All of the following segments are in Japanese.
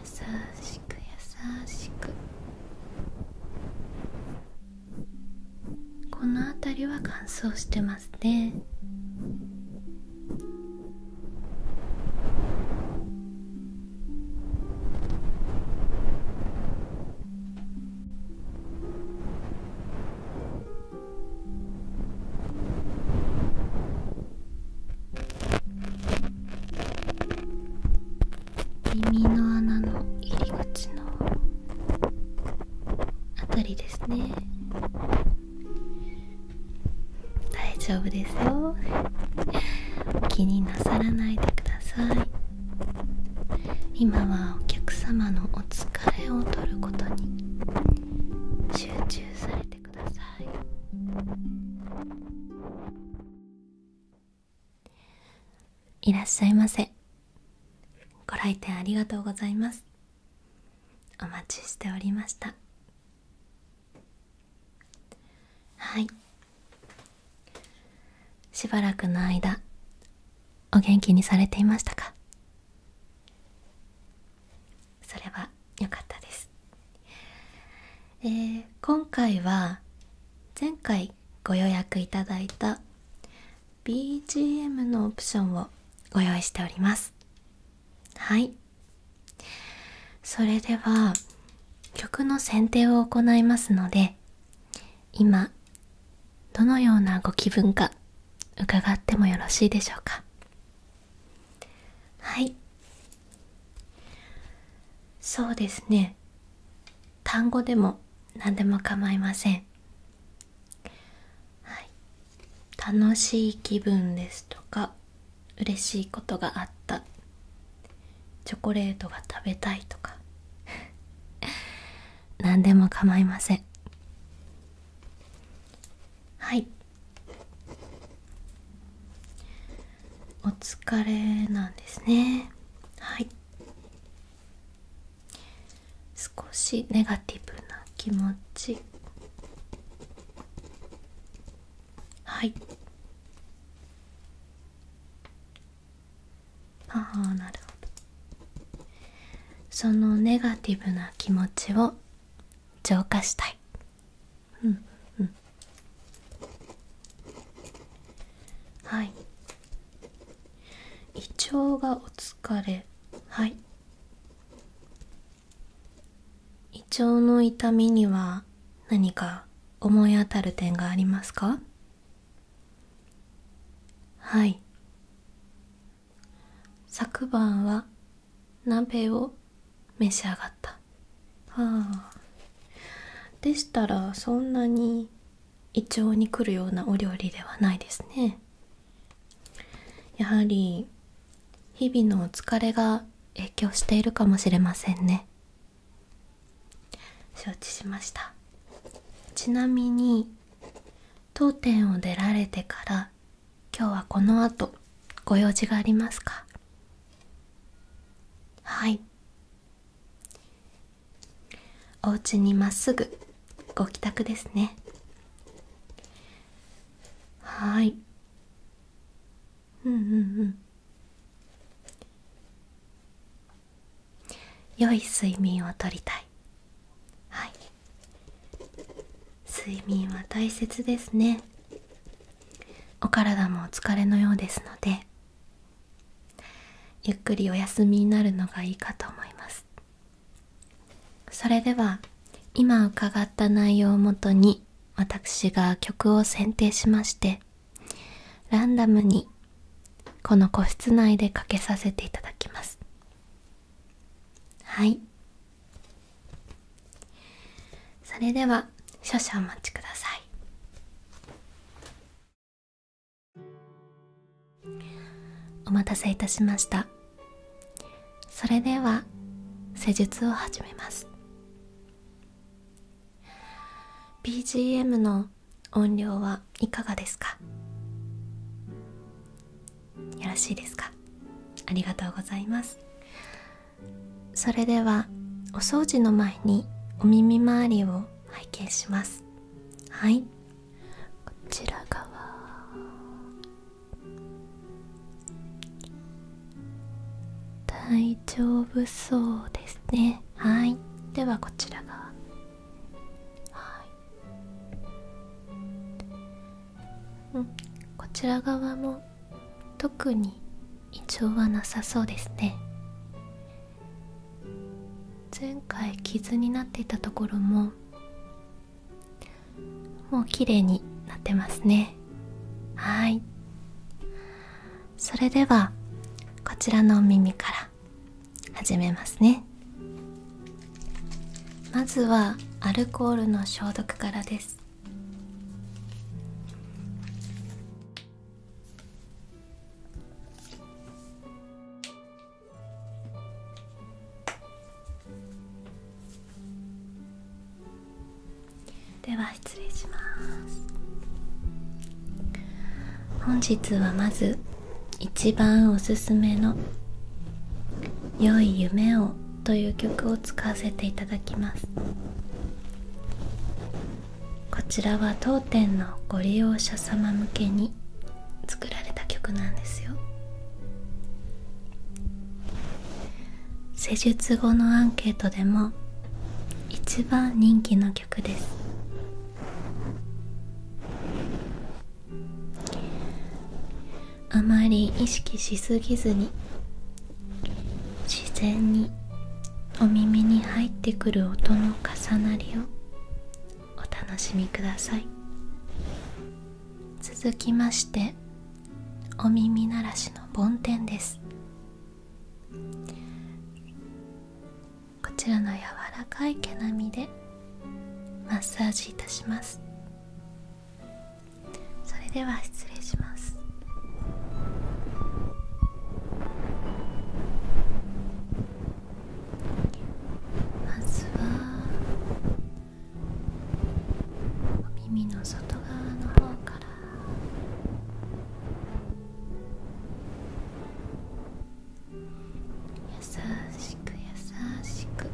優しく優しくこの辺りは乾燥してますね耳の穴の入り口のあたりですね大丈夫ですよ気になさらないでください今はお客様のお疲れを取ることに集中されてくださいいらっしゃいませご来店ありがとうございますお待ちしておりましたはいしばらくの間お元気にされていましたかそれは良かったです、え今回は前回ご予約いただいた BGM のオプションをご用意しておりますはいそれでは曲の選定を行いますので今どのようなご気分か伺ってもよろしいでしょうかはいそうですね単語でも何でも構いません、楽しい気分ですとか嬉しいことがあったチョコレートが食べたいとか 何でも構いませんはいお疲れなんですねはい少しネガティブな気持ちはいああなるほどそのネガティブな気持ちを浄化したいうんうんはい胃腸がお疲れはい胃腸の痛みには何か思い当たる点がありますかはい昨晩は鍋を召し上がったああでしたらそんなに胃腸に来るようなお料理ではないですねやはり日々のお疲れが影響しているかもしれませんね承知しましたちなみに当店を出られてから今日はこの後ご用事がありますかはいお家にまっすぐご帰宅ですねはいうんうんうん良い睡眠をとりたいはい睡眠は大切ですねお体もお疲れのようですのでゆっくりお休みになるのがいいかと思いますそれでは今伺った内容をもとに私が曲を選定しましてランダムにこの個室内でかけさせていただきますはいそれでは少々お待ちくださいお待たせいたしましたそれでは施術を始めます BGM の音量はいかがですかよろしいですかありがとうございますそれではお掃除の前にお耳周りを拝見しますはいこちら側大丈夫そうですねはいではこちら側うん、こちら側も特に異常はなさそうですね前回傷になっていたところももう綺麗になってますねはいそれではこちらのお耳から始めますねまずはアルコールの消毒からですでは失礼します本日はまず一番おすすめの「良い夢を」という曲を使わせていただきますこちらは当店のご利用者様向けに作られた曲なんですよ施術後のアンケートでも一番人気の曲ですあまり意識しすぎずに自然にお耳に入ってくる音の重なりをお楽しみください続きましてお耳鳴らしの梵天ですこちらの柔らかい毛並みでマッサージいたしますそれでは失礼します。まずはお耳の外側の方から優しく優しく。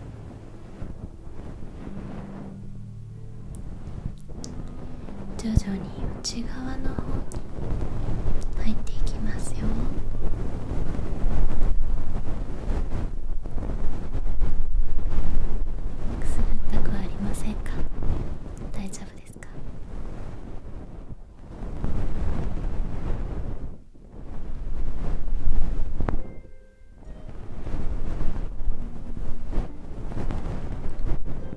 徐々に内側の方に入っていきますよくすぐったくありませんか大丈夫ですか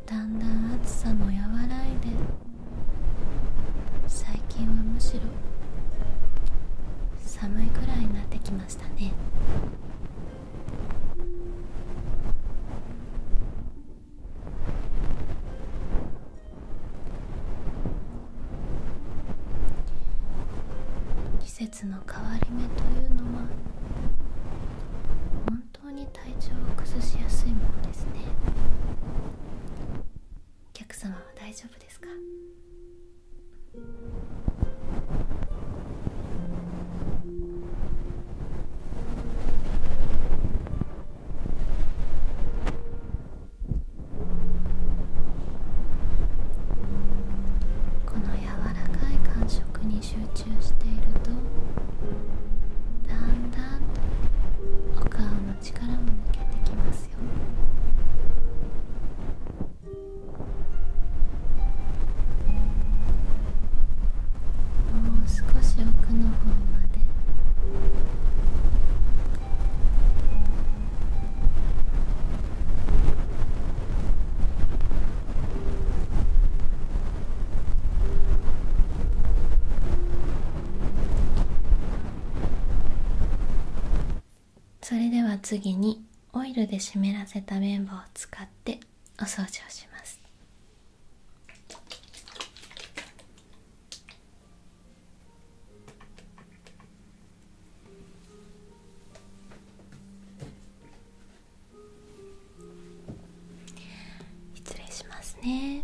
だんだん暑さも和らいで最近はむしろ寒いくらいになってきましたね季節の変わり目というのは本当に体調を崩しやすいものですねお客様は大丈夫ですかこの柔らかい感触に集中しているとだんだんとお顔の力も抜けてきますよもう少し奥の方までそれでは次にオイルで湿らせた綿棒を使ってお掃除をします失礼しますね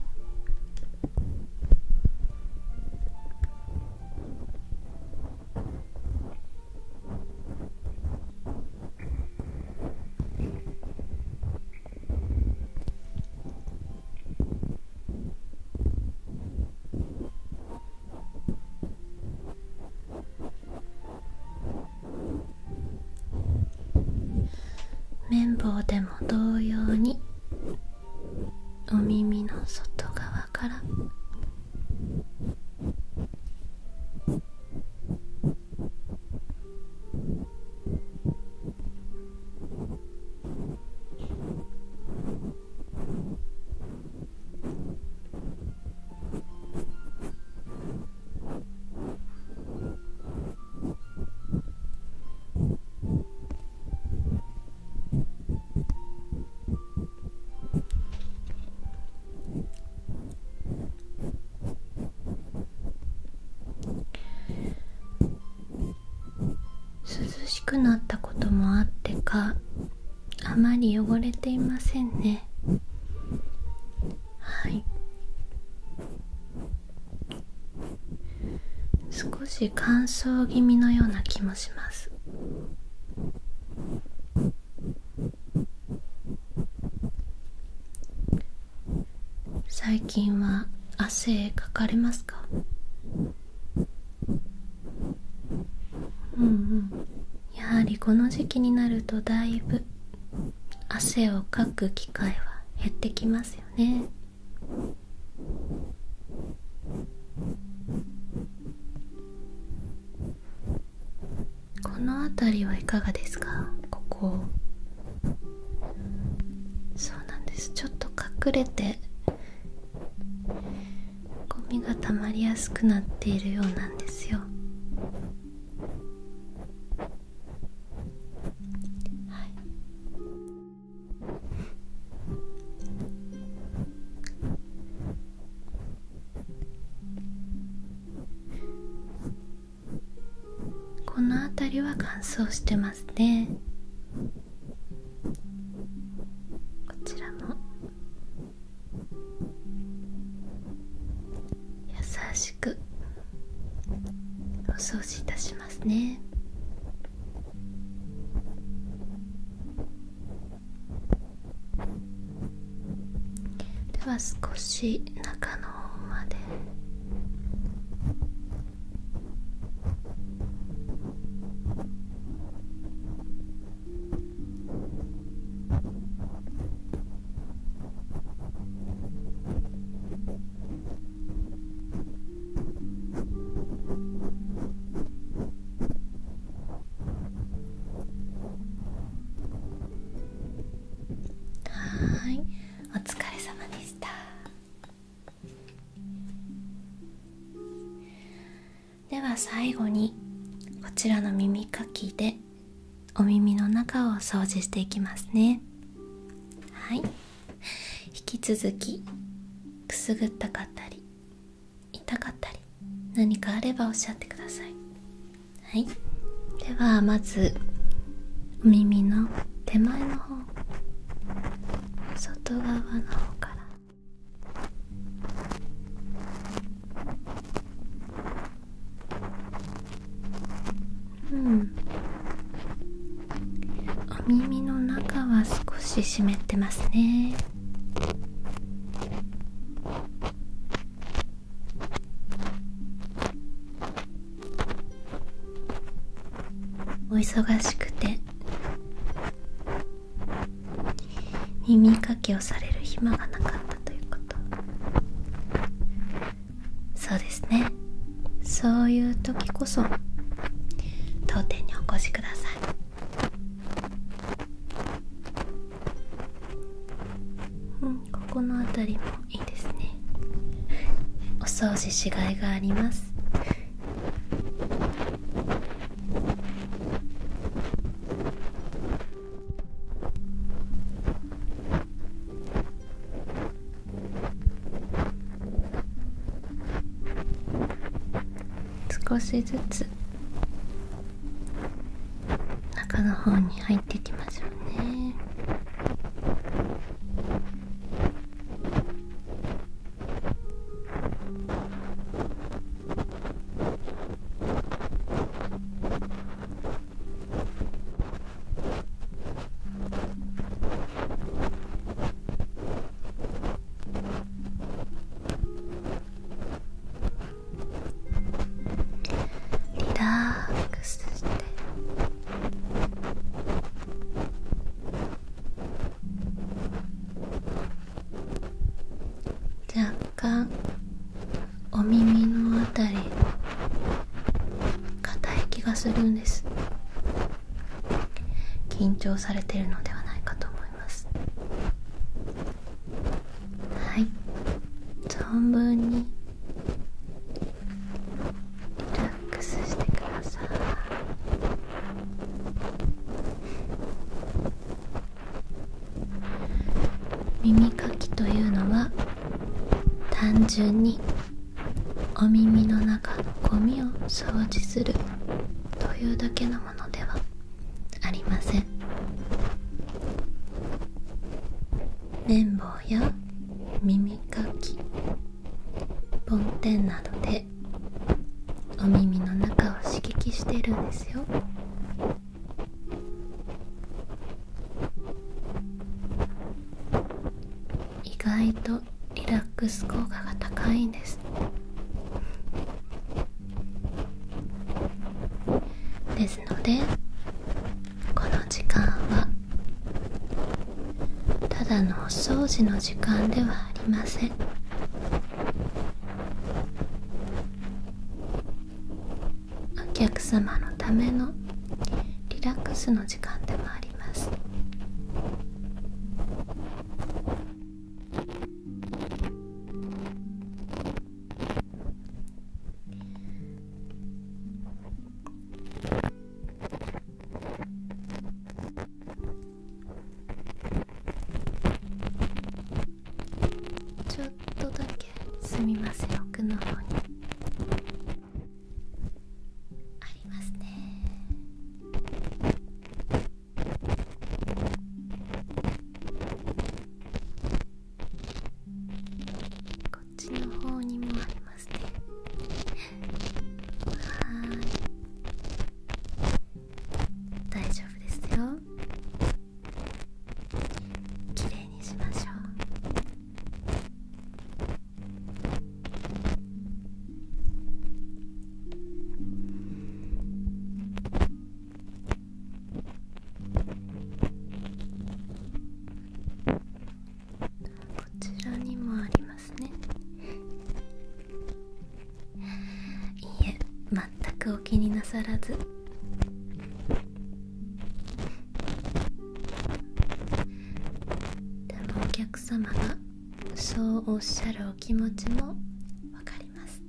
綿棒でも同様にお耳の外側から涼しくなったこともあってかあまり汚れていませんねはい少し乾燥気味のような気もします最近は汗かかれますかうんうんやはりこの時期になるとだいぶ汗をかく機会は減ってきますよねこの辺りはいかがですかここそうなんですちょっと隠れてゴミがたまりやすくなっているようなんですよはいこの辺りは乾燥してますねこちらも優しくお掃除いたしますねでは少し中の方まではいお疲れ様でしたでは最後にこちらの耳かきでお耳の中を掃除していきますねはい引き続きくすぐったかったり痛かったり何かあればおっしゃってくださいはいではまずお耳の手前の方外側の方からうんお耳の中は少し湿ってますねお忙しくて耳かきをされる暇がなかったということそうですねそういう時こそ当店にお越しくださいうんここの辺りもいいですねお掃除しがいがあります少しずつ中の方に入っていきましょうねリラックスして若干お耳のあたり硬い気がするんです緊張されてるのではないかと思いますはい存分にリラックスしてください耳かきというのは単純にお耳の中のゴミを掃除するというだけのものではありません綿棒や耳かき梵天などでお耳の中を刺激してるんですよ意外とリラックス効果が高いんですですのでこの時間はただのお掃除の時間ではありませんお客様のためのリラックスの時間でもありますちょっとだけすみません奥の方にありますねこっちの方にもありますねはい大丈夫ですよ綺麗にしましょうこちらにもありますねいいえ全くお気になさらずでもお客様がそうおっしゃるお気持ちもわかります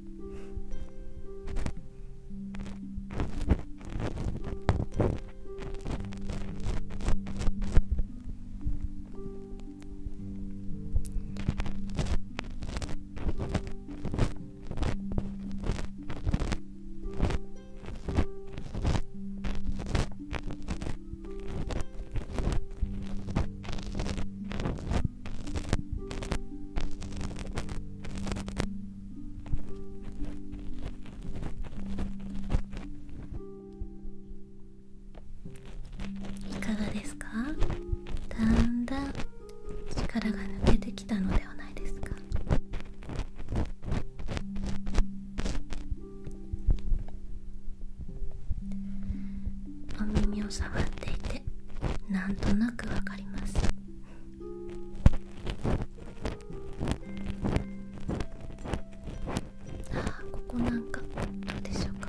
いかがですかだんだん力が抜けてきたのではないですかお耳を触っていてなんとなくわかりますさあここなんかどうでしょうか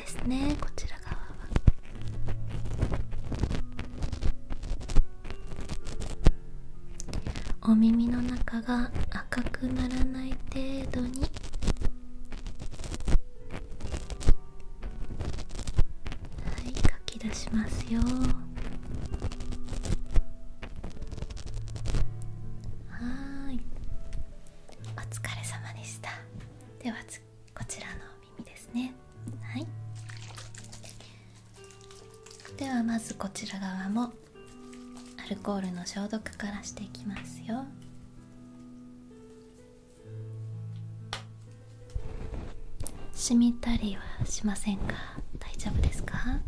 ですねこちら側はお耳の中が赤くならない程度にはい書き出しますよはいお疲れ様でしたではこちらのでねはいではまずこちら側もアルコールの消毒からしていきますよしみたりはしませんか大丈夫ですか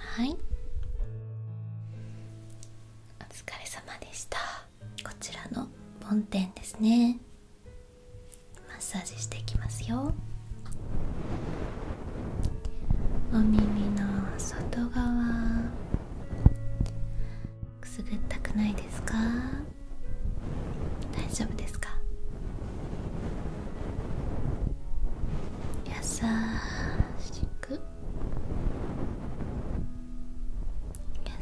はいお疲れ様でしたこちらの本店ですねマッサージしていきますよお耳の外側くすぐったくないですか大丈夫ですか優しく優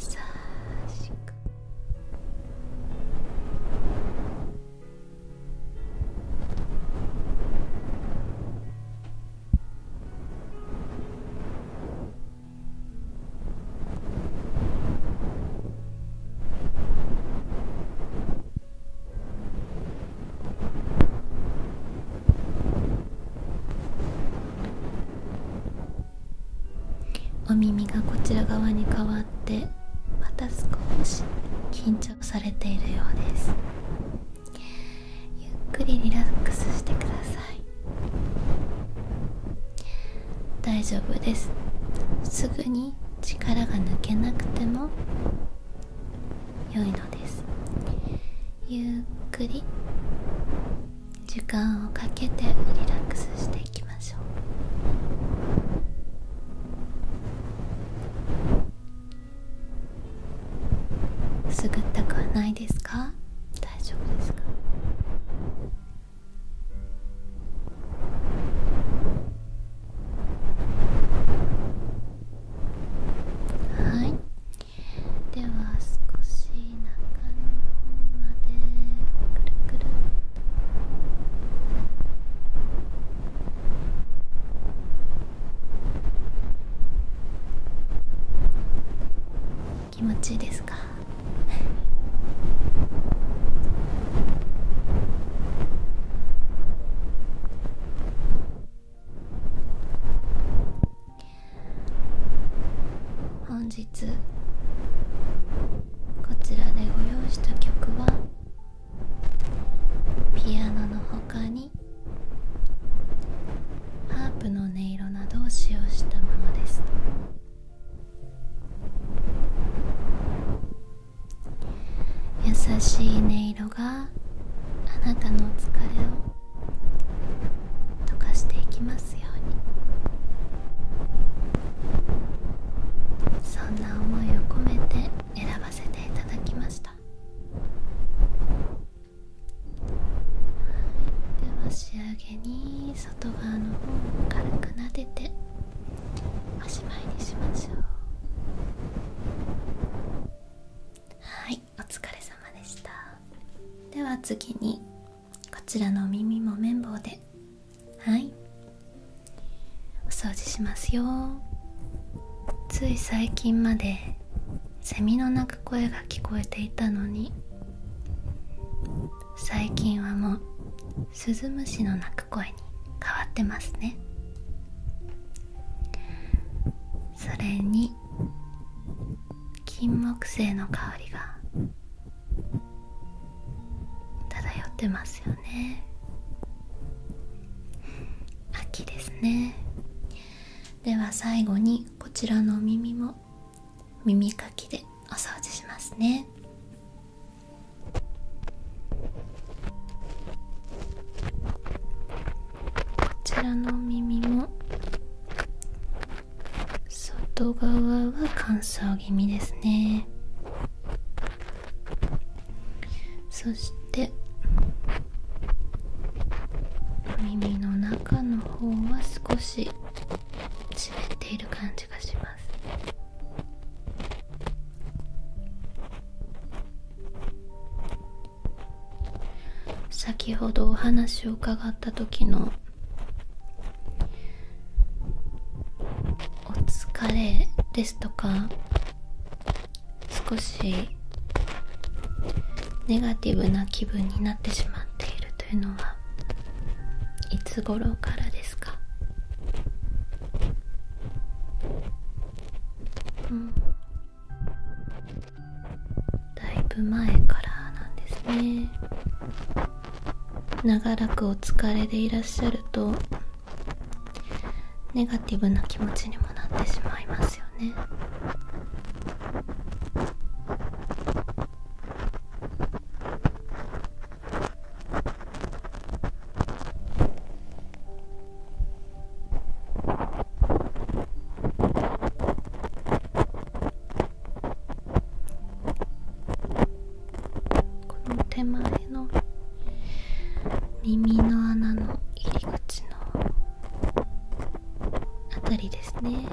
しくお耳がこちら側に変わる。わってまた少し緊張されているようですゆっくりリラックスしてください大丈夫ですすぐに力が抜けなくても良いのですゆっくり時間をかけてリラックスてきましょうすぐったくはないですか大丈夫ですかはいでは少し中の方までくるくる気持ちいいですか本日こちらでご用意した曲はピアノの他にハープの音色などを使用したものです優しい音色があなたの疲れを溶かしていきますようにそんな思いを込めて選ばせていただきました、では仕上げに外側の方を軽く撫でておしまいにしましょうはいお疲れ様でしたでは次にこちらのお耳も綿棒ではいお掃除しますよつい最近までセミの鳴く声が聞こえていたのに最近はもうスズムシの鳴く声に変わってますねそれに金木犀の香りが漂ってますよね秋ですねでは最後にこちらの耳も耳かきでお掃除しますねこちらの耳も外側は乾燥気味ですねそして耳の中の方は少し湿っている感じがします先ほどお話を伺った時の「お疲れ」ですとか少しネガティブな気分になってしまっているというのはいつ頃からですかうんだいぶ前からなんですね長らくお疲れでいらっしゃるとネガティブな気持ちにもなってしまいますよねこの手前の耳の穴の入り口のあたりですね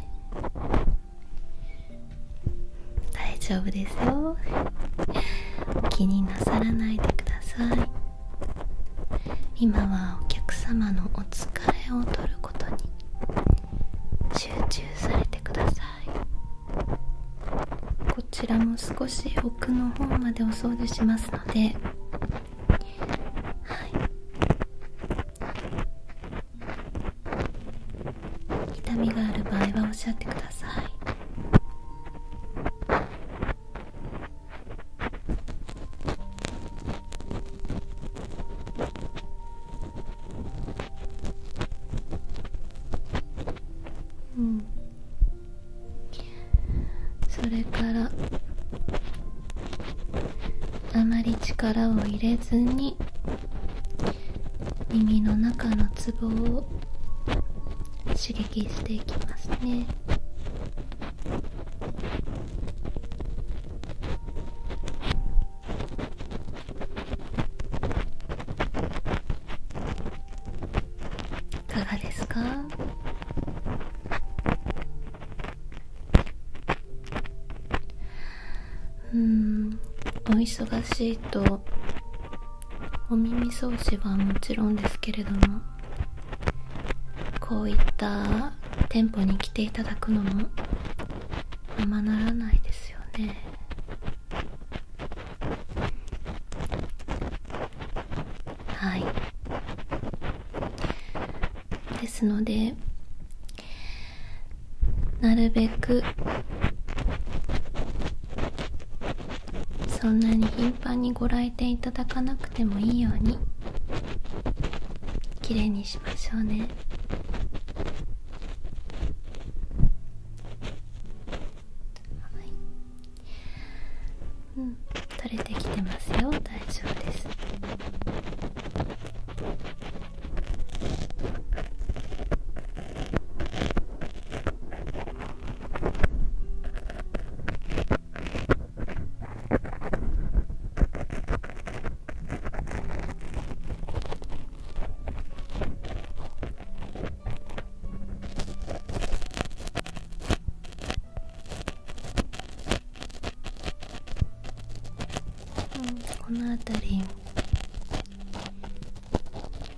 大丈夫ですよ気になさらないでください今はお客様のお疲れを取ることに集中されてくださいこちらも少し奥の方までお掃除しますのではい痛みがある場合はおっしゃってくださいうんそれからあまり力を入れずに耳の中のツボを刺激していきますねいかがですかうんお忙しいとお耳掃除はもちろんですけれどもこういった店舗に来ていただくのもままならないですよねはいですのでなるべくそんなに頻繁にご来店いただかなくてもいいようにきれいにしましょうねうん取れてきてますよ大丈夫ですこの辺り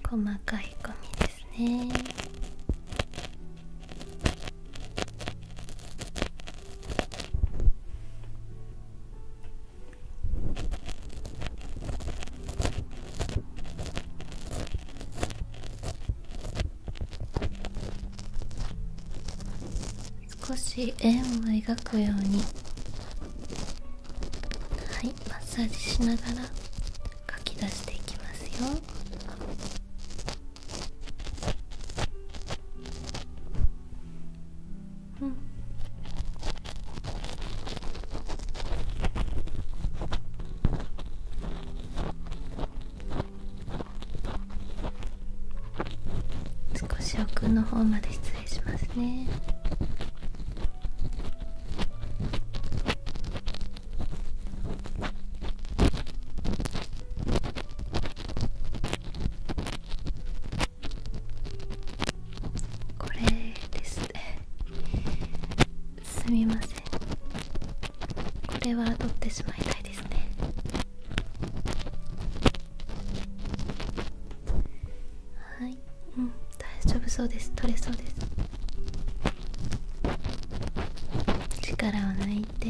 細かいゴミですね少し円を描くようにはいマッサージしながら書き出していきますようん少し奥の方まで失礼しますねこれですねすみませんこれは取ってしまいたいですねはいうん大丈夫そうです取れそうです力を抜いて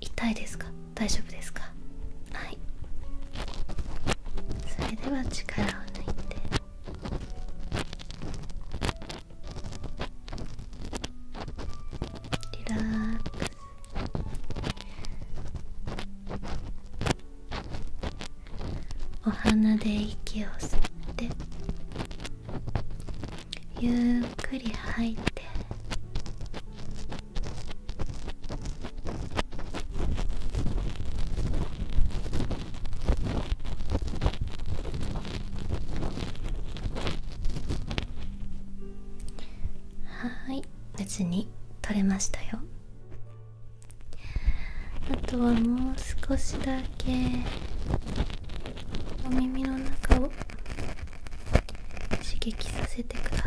痛いですか大丈夫ですかはいそれでは力を抜いてリラックスお鼻で息を吸ってゆっくり吐いてはい無事に取れましたよあとはもう少しだけお耳の中を刺激させてください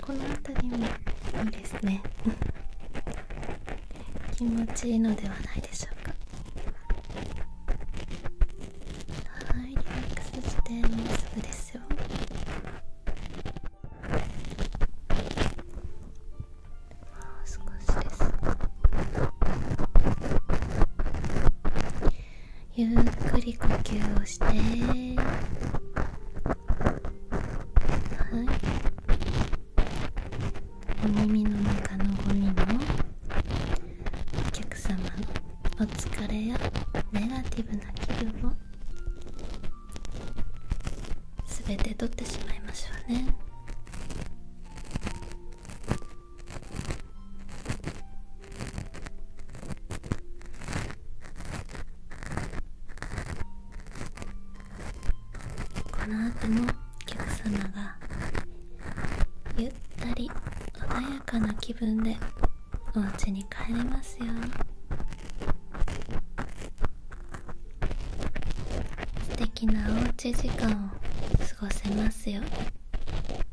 この辺りもいいですね 気持ちいいのではないでしょうかはいリラックスしてもうすぐですよもう少しですゆっくり呼吸をしてはいお耳の中のゴミもお客様のお疲れやネガティブな気分も。全て取ってしまいましょうねこの後もお客様がゆったり穏やかな気分でお家に帰れますように素敵なおうち時間を過ごせますよ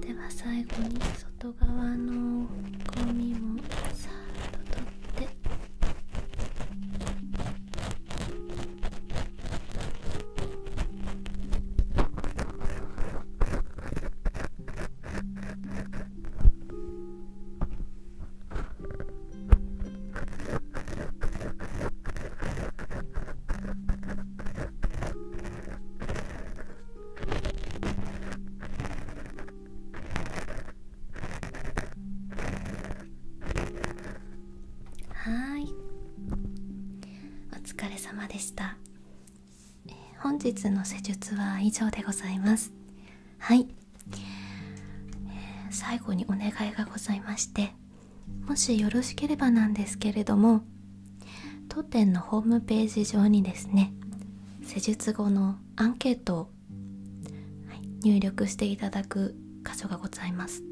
では最後に外側のゴミもさーっと取って。はいお疲れ様でした本日の施術は以上でございますはい、え最後にお願いがございましてもしよろしければなんですけれども当店のホームページ上にですね施術後のアンケートを入力していただく箇所がございます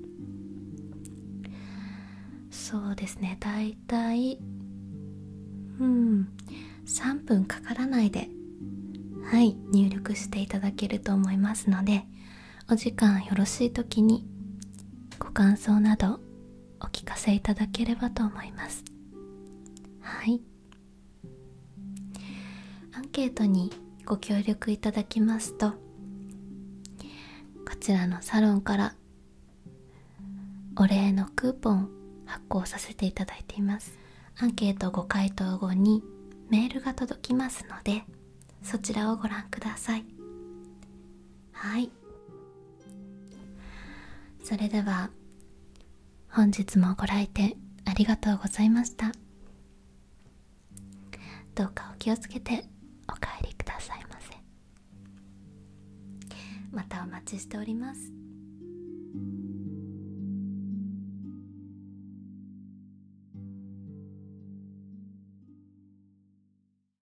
そうですねだいたいうん3分かからないではい入力していただけると思いますのでお時間よろしい時にご感想などお聞かせいただければと思いますはいアンケートにご協力いただきますとこちらのサロンからお礼のクーポン発行させていただいていますアンケートご回答後にメールが届きますのでそちらをご覧くださいはいそれでは本日もご来店ありがとうございましたどうかお気をつけてお帰りくださいませまたお待ちしております